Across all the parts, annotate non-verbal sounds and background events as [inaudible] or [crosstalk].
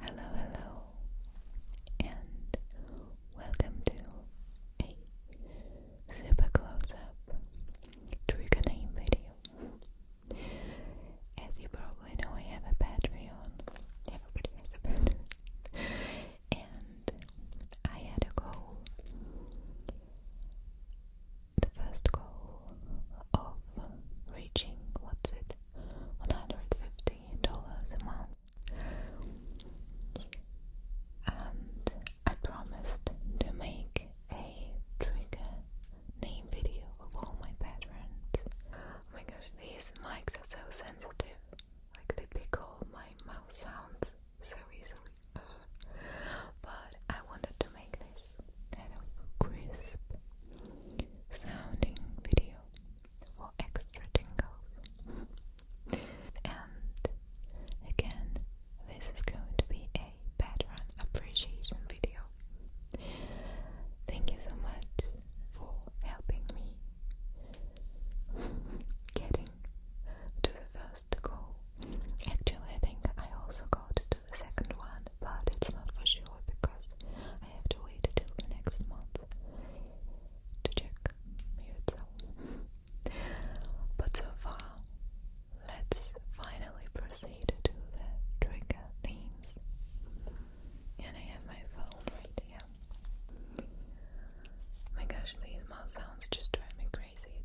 Hello, hello, and welcome to a super close up trigger name video. As you probably know, I have a Patreon, everybody has a Patreon, and I had a goal. The first goal of reaching what's it $150 a month. And I promised to make a trigger name video of all my patterns. Oh my gosh, these mics are so sensitive. Like they pick all my mouth sounds so easily. [laughs] but I wanted to make this kind of crisp sounding video for extra tingles. and again, this is going to be a pattern appreciation video. Thank you so much for helping me [laughs] getting to the first goal. Actually, I think I also got to the second one, but it's not for sure because I have to wait till the next month to check [laughs] But so far, let's finally proceed to the trigger themes. And I have my phone right here. My gosh, these mouth sounds just drive me crazy.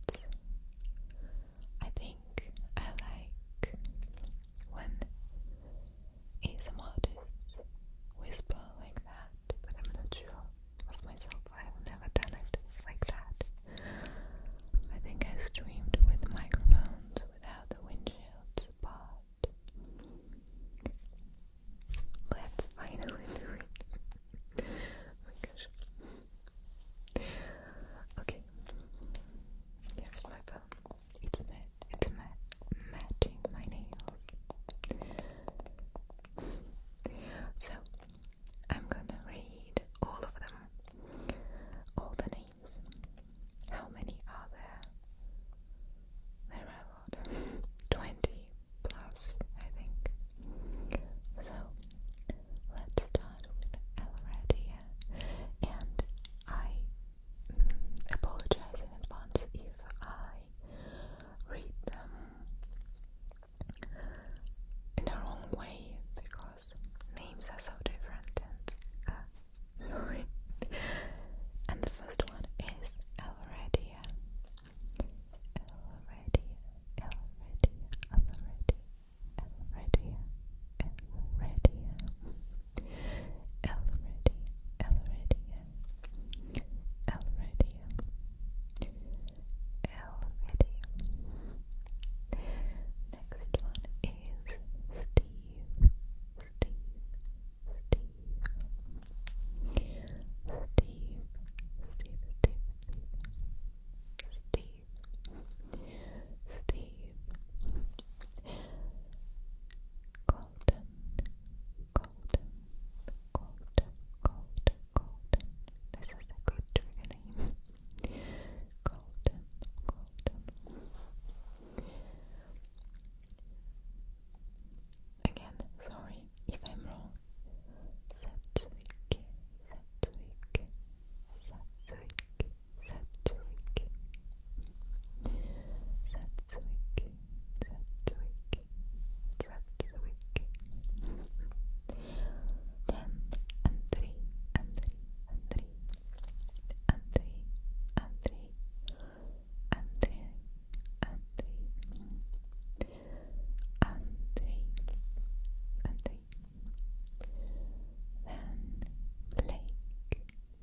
I think I like when ASM artists whisper like that, but I'm not sure of myself. I've never done it like that. I think I streamed with microphones without the windshields apart. Let's finally do it. Oh my gosh. Okay. Here's my phone. It's dead. It's ma matching my nails. So I'm gonna read all of them, all the names. How many are there? There are a lot. [laughs] 20 plus, I think. So let's start with Elradia. And I apologize in advance if I read them in the wrong way because names are so different and uh, [laughs] sorry. and the first one is Alredia. Alredia, Alredia, Alredia, Alredia, Elredia, Elredia, Elredia, Elredia, Elredia. Next one is Steve, Steve, Steve, Steve, Steve, Steve. Steve, Steve, leaf. Golden, golden, golden, golden, golden. This is a good trigger name. golden, golden. Again, sorry if I'm wrong. Satsuiki, Satsuiki, Satsuiki, Satsuik Satsuik Satsuik Satsuik Then Andri Andri Andri Andri Andri Andri Andri Andri Andri then Blake,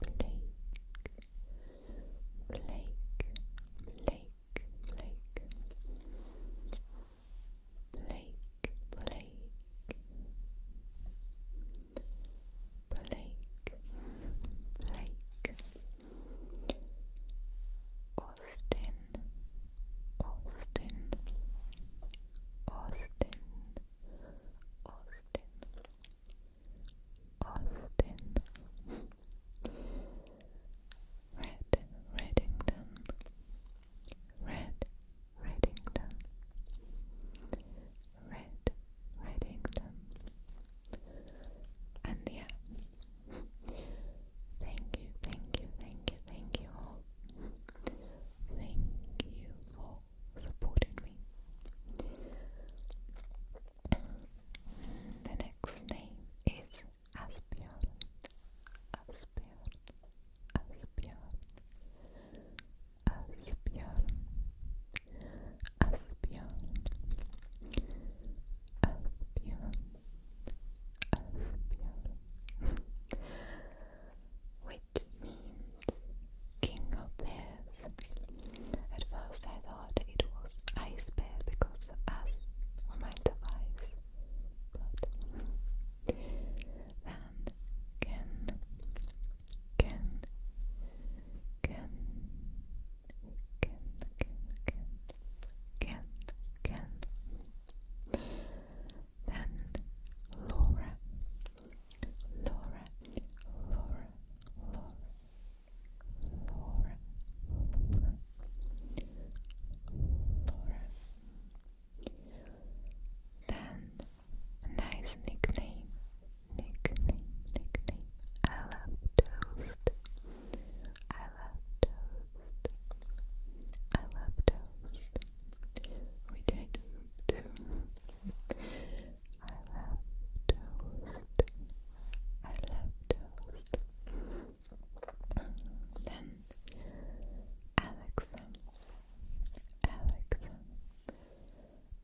Blake, Blake, Blake, Blake, Blake, Blake, Blake, Blake, Austin, Austin, Austin, Austin, Austin Red Reddington Red Reddington Red Reddington and yeah thank you thank you thank you thank you all thank you for for supporting me. The next name is Asbjorn. Asbjorn. Asbjorn. Asbjorn. Asbjorn. Asbjorn. Asbjorn. [laughs] Which means king of bears. At first I thought it was ice bear because us remind of ice. But then Ken Ken Ken Ken Ken Ken Ken Ken Then Laura Laura Laura Laura Laura, Laura, Then nice nickname, nickname, nickname. I love toast. I love toast. I love toast. Which I do too. I love toast. I love toast. Then Alexan, Alexan, Alexan,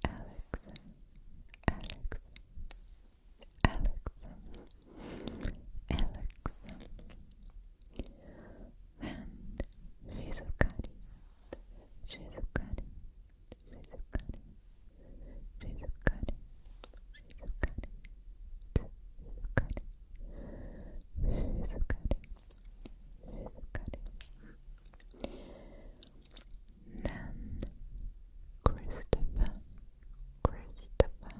Alexan, Alexan, Alexan. Then Shizukari, Shizukari. Nan Christopher Christopher Christopher Christopher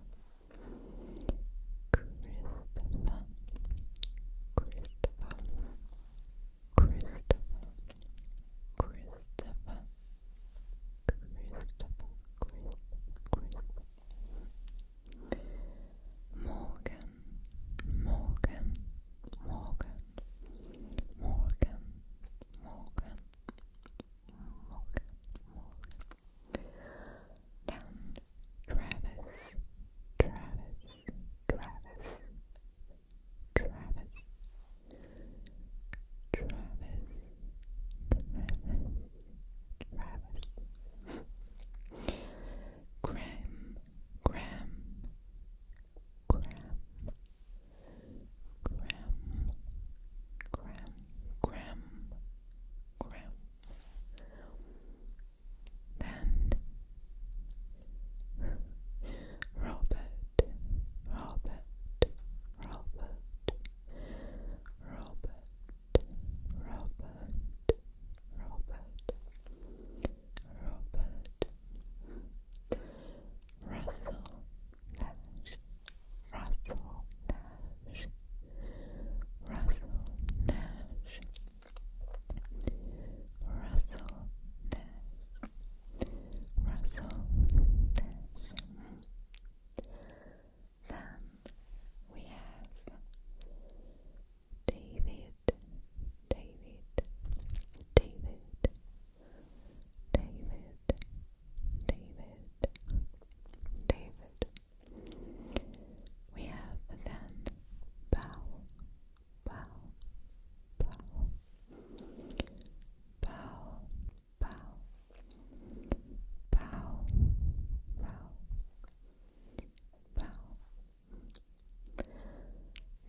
Christopher Christopher, Christopher, Christopher, Christopher, Morgan, Morgan, Morgan, Morgan, Morgan, Morgan, Morgan. Then Travis, Travis, Travis. Travis, Travis, Travis, Travis, Graham, Graham, Graham, Graham, Graham, Graham, Graham. Then Robert, Robert, Robert, Robert, Robert, Robert, Robert, Russell Nash, Russell Nash, Russell Nash, Russell Nash. Russell Then we have David, David, David, David, David, David. We have then Bow, Bow, Bow, bow, bow, bow, bow, bow.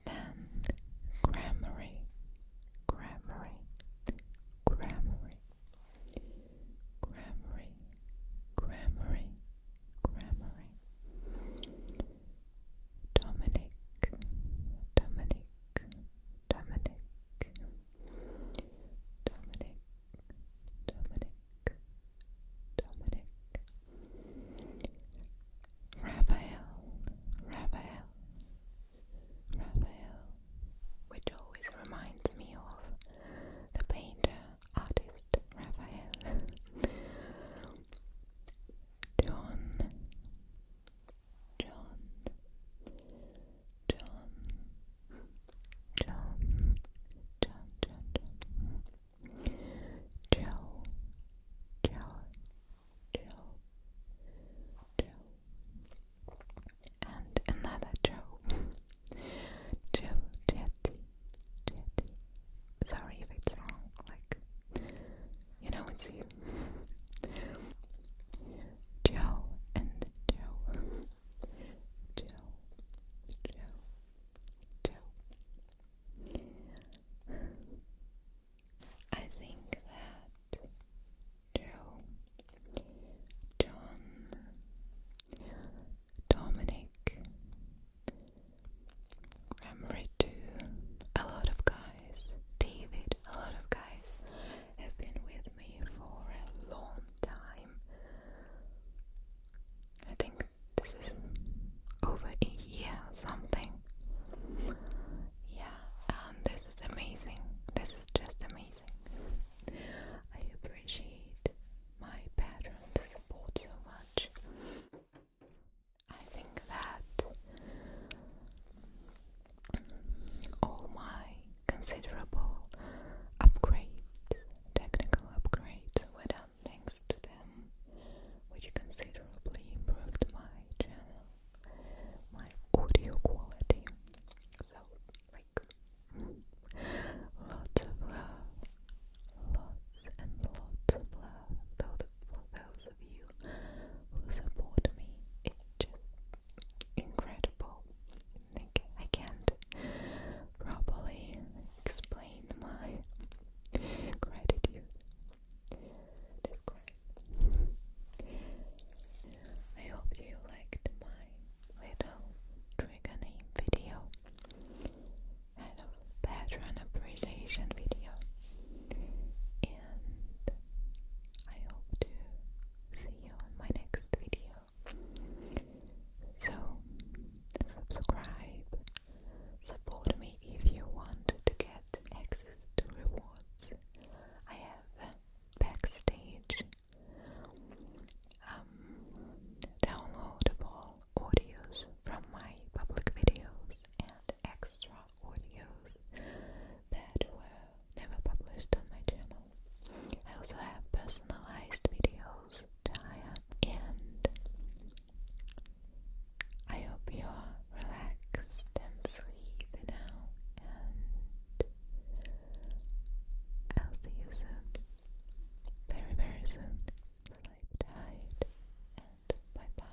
Then grammary, grammary, grammary, grammary, grammary, grammary. Dominic, Dominic, Dominic, Dominic, Dominic, Dominic, Raphael, Raphael, Raphael, which always reminds me of the painter artist Raphael. John, John, John, John, John, John, John, Joe, Joe, Joe, Joe, and another Joe, [laughs] Joe Jetty, Jetty. Sorry if it's wrong, like you know it's you. Joe and Joe. Joe. Joe. Joe. I think that Joe, John, Dominic, Gramry too, a lot of guys David, a lot of guys have been with me for a long time. I think this is over a year something. Yeah, and this is amazing. This is just amazing. I appreciate my patrons' support so much. I think that all my considerable upgrades, technical upgrades were done thanks to them, which considerably improved my channel, my audio quality. So, like, lots of love, lots and lots of love for those of you who support me. It just incredible. I can't properly explain my gratitude. I hope you liked my little trigger video and a patron appreciation video. And I hope to see you on my next video. So, subscribe, support me if you want to get access to rewards. I have backstage um, downloadable audios from my public videos and extra audios that were never published on my channel. I also have personalized videos to hire and I hope you're relaxed and sleepy now and I'll see you soon. Very very soon. Sleep tight and bye bye.